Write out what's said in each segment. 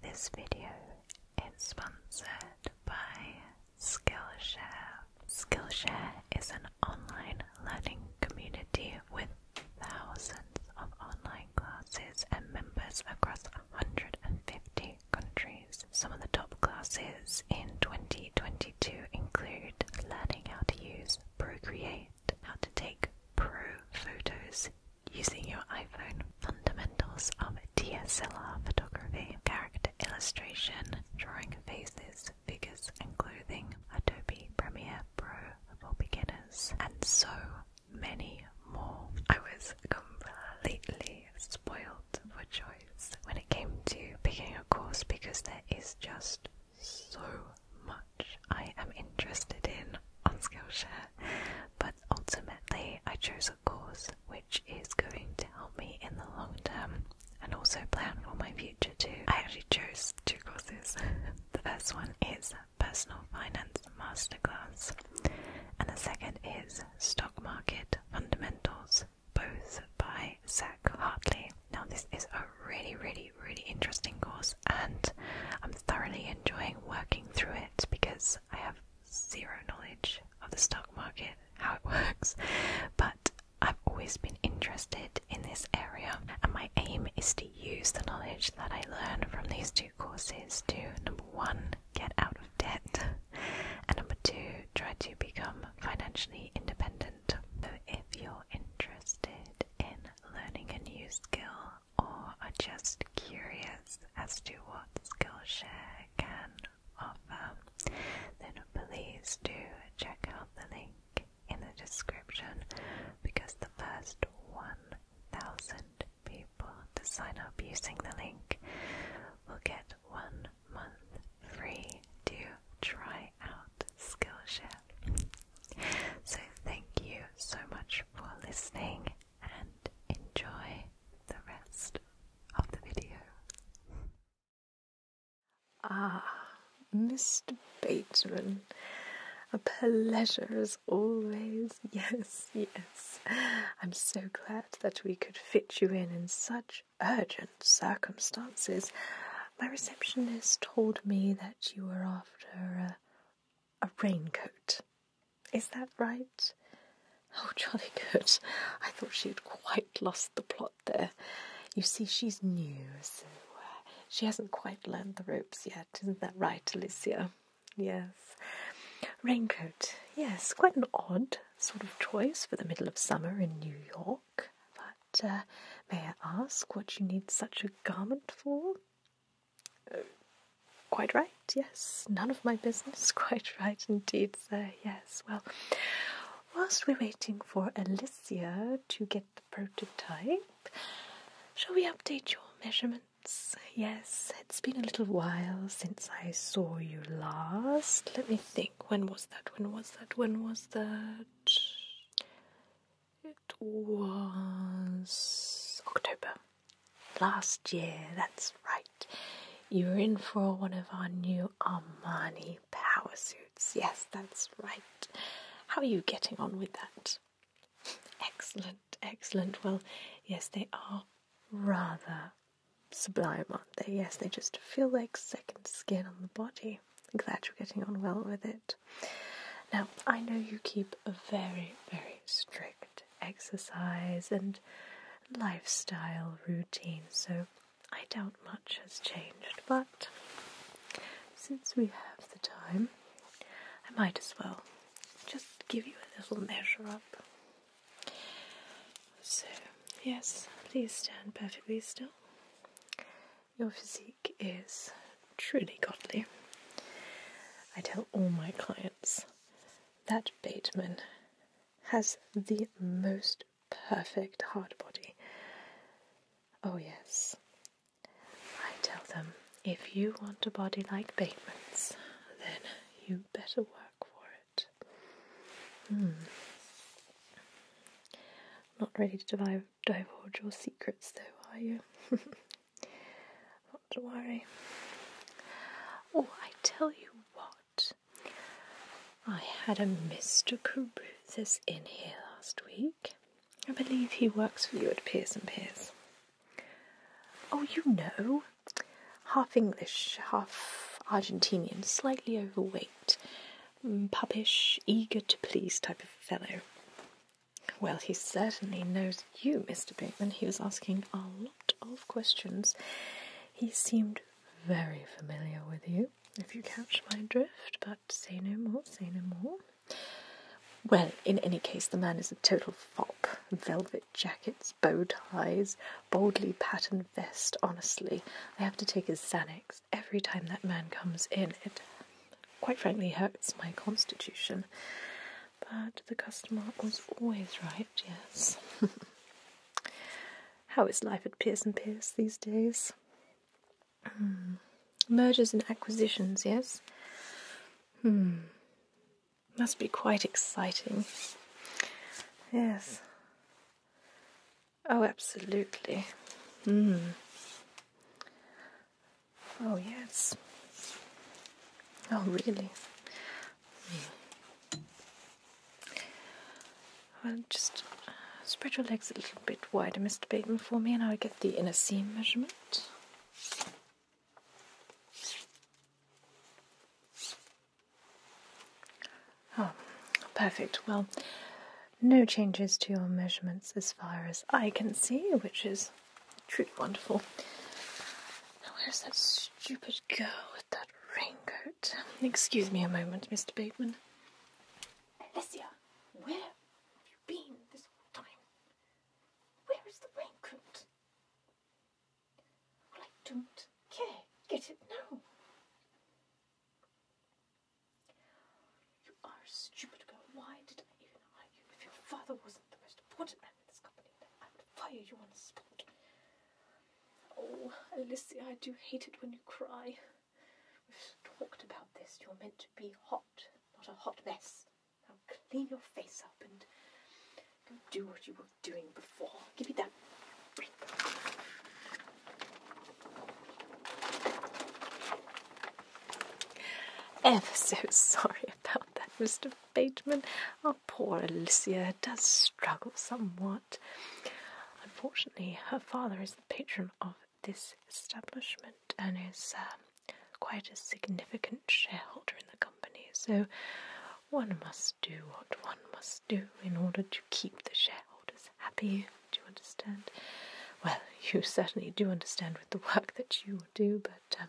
This video is sponsored by Skillshare. Skillshare is an online learning community with thousands of online classes and members across 150 countries. Some of the top classes in 2022 include learning how to use Procreate, how to take pro photos using your iPhone. Fundamentals of DSLR photography, character illustration, drawing faces, figures, and clothing, Adobe Premiere Pro for beginners, and so many more. I was completely spoiled for choice when it came to picking a course because there is just so much I am interested in on Skillshare. But ultimately, I chose a course which is going to help me in the long term and also plan for my future too. I actually chose two courses. the first one is Personal Finance Masterclass, and the second is Stock Market Fundamentals, both by Zach Hartley. Now, this is a really, really, really interesting course, and I'm thoroughly enjoying working through it because I have zero knowledge of the stock market, how it works, but I've always been interested in this area, and my aim is to use the knowledge that I learn from these two courses to number one, get out of debt, and number two, try to become financially independent. So, if you're interested in learning a new skill or are just curious as to what Skillshare can offer, then please do check out the link in the description because the first 1,000 people to sign up using the link will get one month free to try out Skillshare. So, thank you so much for listening, and enjoy the rest of the video. Ah, Mr. Bateman, a pleasure as always. Yes, yes. I'm so glad that we could fit you in in such urgent circumstances. My receptionist told me that you were after a a raincoat. Is that right? Oh, jolly good. I thought she had quite lost the plot there. You see, she's new, so uh, she hasn't quite learned the ropes yet. Isn't that right, Alicia? Yes. Raincoat. Yes, quite an odd sort of choice for the middle of summer in New York. But uh, may I ask what you need such a garment for? Quite right, yes. None of my business. Quite right indeed, sir. Yes, well, whilst we're waiting for Alicia to get the prototype, shall we update your measurements? Yes, it's been a little while since I saw you last. Let me think. When was that? When was that? When was that? It was October last year, that's right. You were in for one of our new Armani power suits. Yes, that's right. How are you getting on with that? Excellent, excellent. Well, yes, they are rather sublime, aren't they? Yes, they just feel like second skin on the body. Glad you're getting on well with it. Now, I know you keep a very, very strict exercise and lifestyle routine, so I doubt much has changed, but since we have the time, I might as well just give you a little measure up. So, yes, please stand perfectly still. Your physique is truly godly. I tell all my clients that Bateman has the most perfect hard body. Oh, yes. I tell them if you want a body like Bateman's, then you better work for it. Hmm. Not ready to divulge your secrets, though, are you? Not to worry. Oh, I tell you what. I had a Mr. Carruthers in here last week. I believe he works for you at Pearson Pears. Oh, you know, half English, half Argentinian, slightly overweight, mm, puppish, eager to please type of fellow. Well, he certainly knows you, Mr. Pinkman. He was asking a lot of questions. He seemed very familiar with you, if you catch my drift, but say no more, say no more. Well, in any case, the man is a total fop. Velvet jackets, bow ties, boldly patterned vest. Honestly, I have to take his Xanax every time that man comes in. It quite frankly hurts my constitution. But the customer was always right, yes. How is life at Pearson Pierce these days? Hmm. Mergers and acquisitions, yes? Hmm. Must be quite exciting. Yes. Oh, absolutely. Hmm. Oh, yes. Oh, really? Hmm. Well, just uh, spread your legs a little bit wider, Mr. Bateman, for me, and I'll get the inner seam measurement. Oh, perfect. Well, no changes to your measurements as far as I can see, which is truly wonderful. Now, where's that stupid girl with that raincoat? Excuse me a moment, Mr. Bateman. Alicia, where have you been this whole time? Where is the raincoat? Well, I don't care. Get it now. You are a stupid girl. Why did I even hire If your father wasn't the most important man in this company, I would fire you on the spot. Oh, Alicia, I do hate it when you cry. We've talked about this. You're meant to be hot, not a hot mess. Now clean your face up and do what you were doing before. Give me that Ever so sorry about that, Mr. Bateman. Our poor Alicia does struggle somewhat. Unfortunately, her father is the patron of this establishment and is um, quite a significant shareholder in the company, so one must do what one must do in order to keep the shareholders happy. Do you understand? Well, you certainly do understand with the work that you do, but um,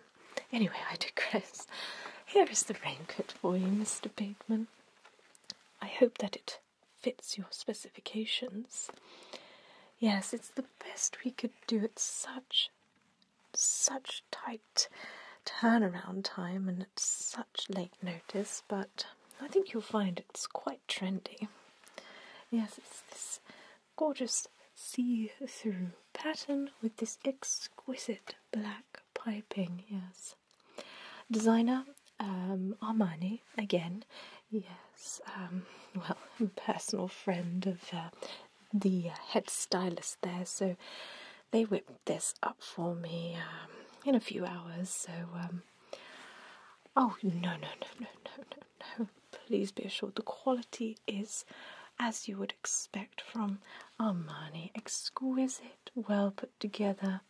anyway, I digress. Here is the raincoat for you, Mr. Bateman. I hope that it fits your specifications. Yes, it's the best we could do. at such, such tight turnaround time and at such late notice, but um, I think you'll find it's quite trendy. Yes, it's this gorgeous see through pattern with this exquisite black piping. Yes. Designer um, Armani, again. Yes, um, well, personal friend of uh, the head stylist there, so they whipped this up for me um, in a few hours. So Oh, no, no, no, no, no, no, no. Please be assured the quality is as you would expect from Armani exquisite, well put together,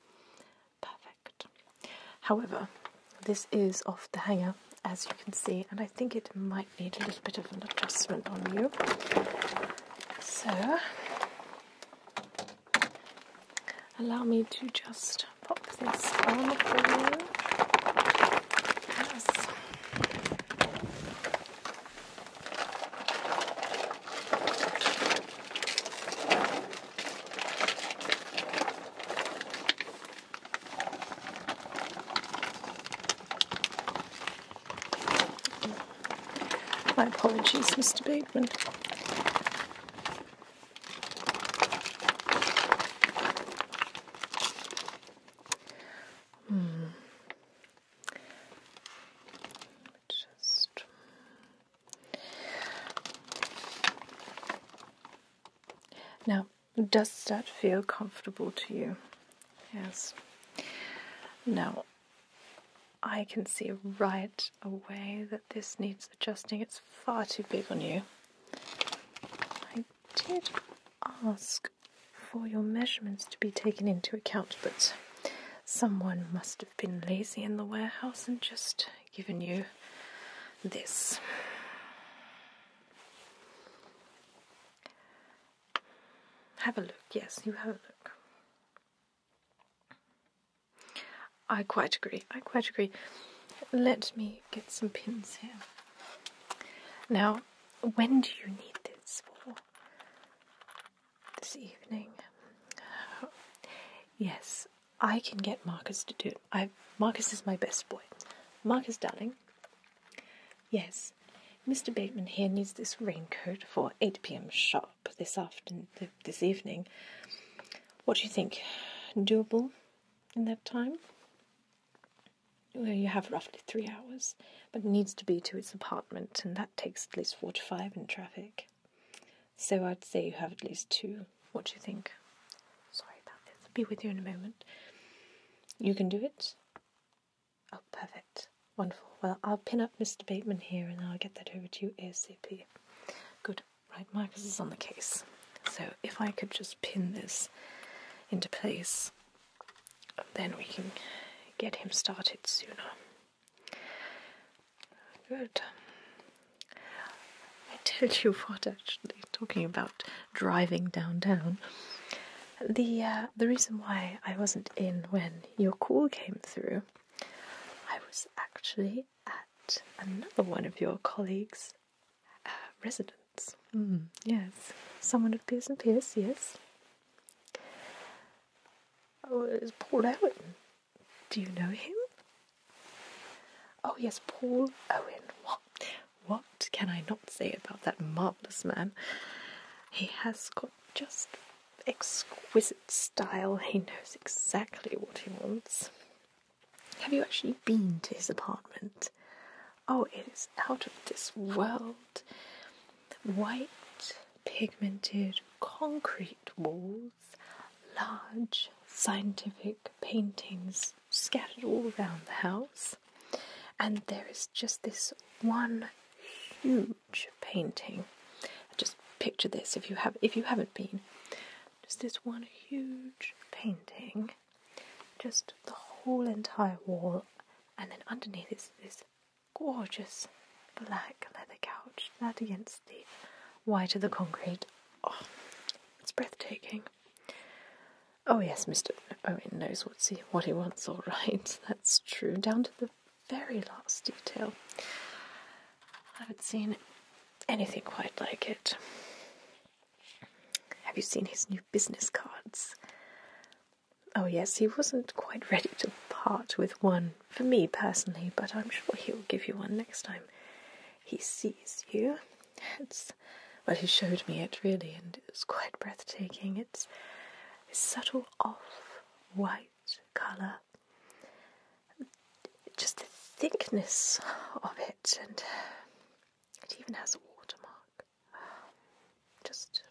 perfect. However, this is off the hanger as you can see, and I think it might need a little bit of an adjustment on you. So, allow me to just pop this on for you. My apologies, Mr. Bateman. Hmm. Just now, does that feel comfortable to you? Yes. Now, I can see right away that this needs adjusting. It's far too big on you. I did ask for your measurements to be taken into account, but someone must have been lazy in the warehouse and just given you this. Have a look, yes, you have a look. I quite agree. I quite agree. Let me get some pins here. Now, when do you need this for? This evening? yes, I can get Marcus to do it. I Marcus is my best boy. Marcus, darling. Yes, Mr. Bateman here needs this raincoat for 8 p.m. sharp this afternoon, this evening. What do you think? Doable in that time? Well, you have roughly three hours, but it needs to be to its apartment, and that takes at least four to five in traffic. So I'd say you have at least two. What do you think? Sorry about this. be with you in a moment. You can do it? Oh, perfect. Wonderful. Well, I'll pin up Mr. Bateman here and I'll get that over to you ASAP. Good. Right, Marcus is on the case. So if I could just pin this into place, then we can get him started sooner. Good. I tell you what, actually, talking about driving downtown, the uh, the reason why I wasn't in when your call came through, I was actually at another one of your colleagues' uh, residence. Hmm, yes, someone of Pearson Pierce, yes. Oh, it's Paul Owen. Do you know him? Oh, yes, Paul Owen. what can I not say about that marvellous man? He has got just exquisite style, he knows exactly what he wants. Have you actually been to his apartment? Oh, it is out of this world. White, pigmented concrete walls, large scientific paintings scattered all around the house, and there is just this one huge painting picture this if you have if you haven't been. Just this one huge painting, just the whole entire wall, and then underneath is this gorgeous black leather couch, that against the white of the concrete. Oh, it's breathtaking. Oh yes, Mr. Owen knows what's he, what he wants, all right. That's true, down to the very last detail. I haven't seen anything quite like it. Have you seen his new business cards? Oh, yes, he wasn't quite ready to part with one for me personally, but I'm sure he'll give you one next time he sees you. But he showed me it really, and it was quite breathtaking. It's a subtle off white colour just the thickness of it, and it even has a watermark. Just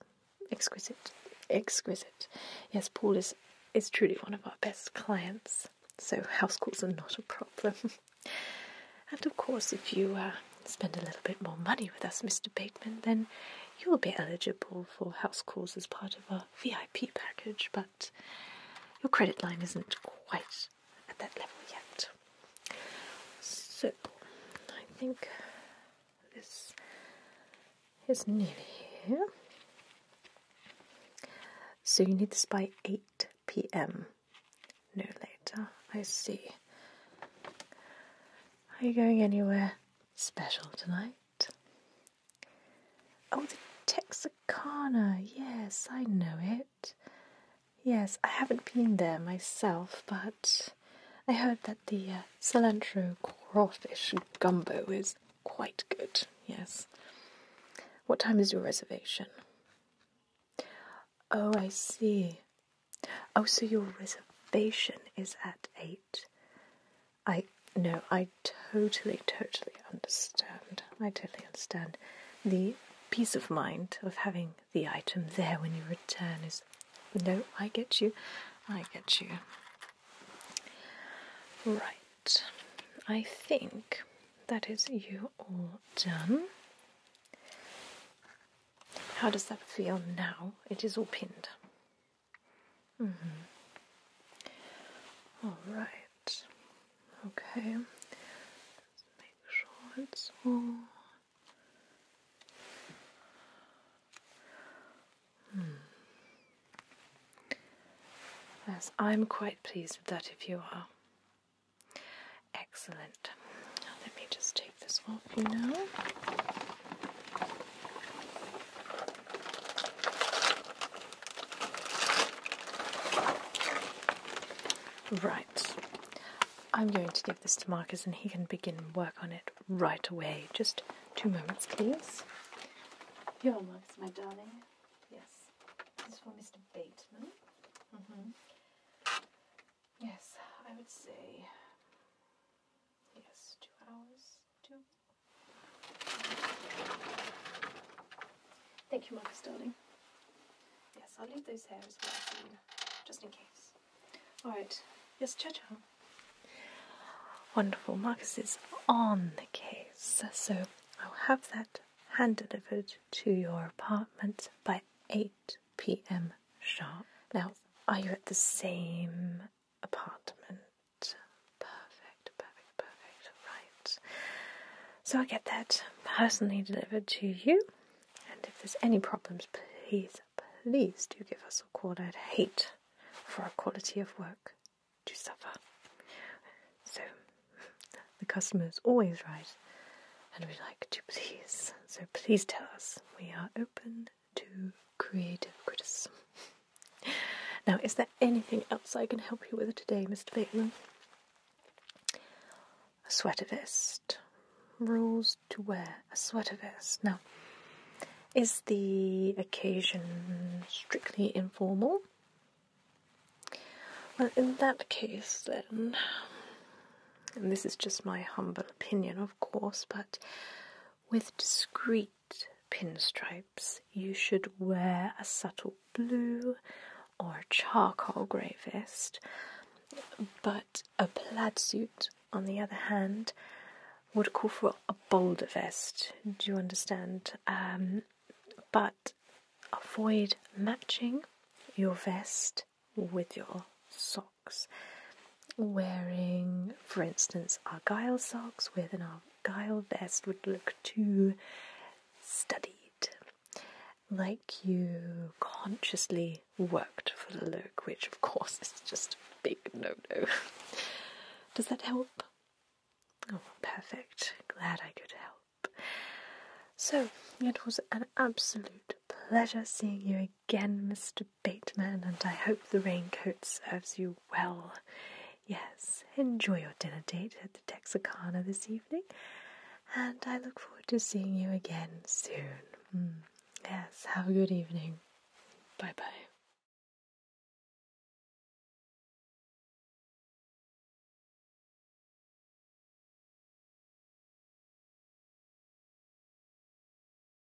exquisite, exquisite. Yes, Paul is is truly one of our best clients, so house calls are not a problem. and of course, if you uh, spend a little bit more money with us, Mr. Bateman, then you'll be eligible for house calls as part of our. VIP package, but your credit line isn't quite at that level yet. So, I think this is nearly here. So, you need this by 8 pm, no later. I see. Are you going anywhere special tonight? Oh, the Texarkana. Yes, I know it. Yes, I haven't been there myself, but I heard that the uh, cilantro crawfish gumbo is quite good. Yes. What time is your reservation? Oh, I see. Oh, so your reservation is at 8. I no, I totally, totally understand. I totally understand. The peace of mind of having the item there when you return is no, I get you. I get you. Right. I think that is you all done. How does that feel now? It is all pinned. Mm -hmm. All right. Okay. Just make sure it's all. Hmm. Yes, I'm quite pleased with that if you are. Excellent. Now let me just take this off you now. Right. I'm going to give this to Marcus and he can begin work on it right away. Just two moments, please. Your Marcus, my darling. Yes. This is for Mr. Bateman. Mm-hmm. Yes, I would say. Yes, two hours, two Thank you, Marcus, darling. Yes, I'll leave those here as well, just in case. All right. Yes, Cha Cha. Wonderful. Marcus is on the case, so I'll have that hand delivered to your apartment by 8 p.m. sharp. Now, are you at the same apartment. Perfect, perfect, perfect. Right. So i get that personally delivered to you. And if there's any problems, please, please do give us a call. I'd hate for our quality of work to suffer. So the customer is always right, and we would like to please. So please tell us. We are open to creative criticism. Now, is there anything else I can help you with today, Mr. Bateman? A sweater vest. Rules to wear a sweater vest. Now, is the occasion strictly informal? Well, in that case, then, and this is just my humble opinion, of course, but with discreet pinstripes, you should wear a subtle blue or charcoal grey vest, but a plaid suit, on the other hand, would call for a bolder vest. Do you understand? Um, but avoid matching your vest with your so wearing, for instance, Argyle socks with an Argyle vest would look too studied, like you consciously worked for the look, which of course is just a big no no. Does that help? Oh, perfect. Glad I could help. So, it was an absolute pleasure seeing you again, Mr. Bateman, and I hope the raincoat serves you well. Yes, enjoy your dinner date at the Texicana this evening, and I look forward to seeing you again soon. Mm. Yes, have a good evening. Bye bye.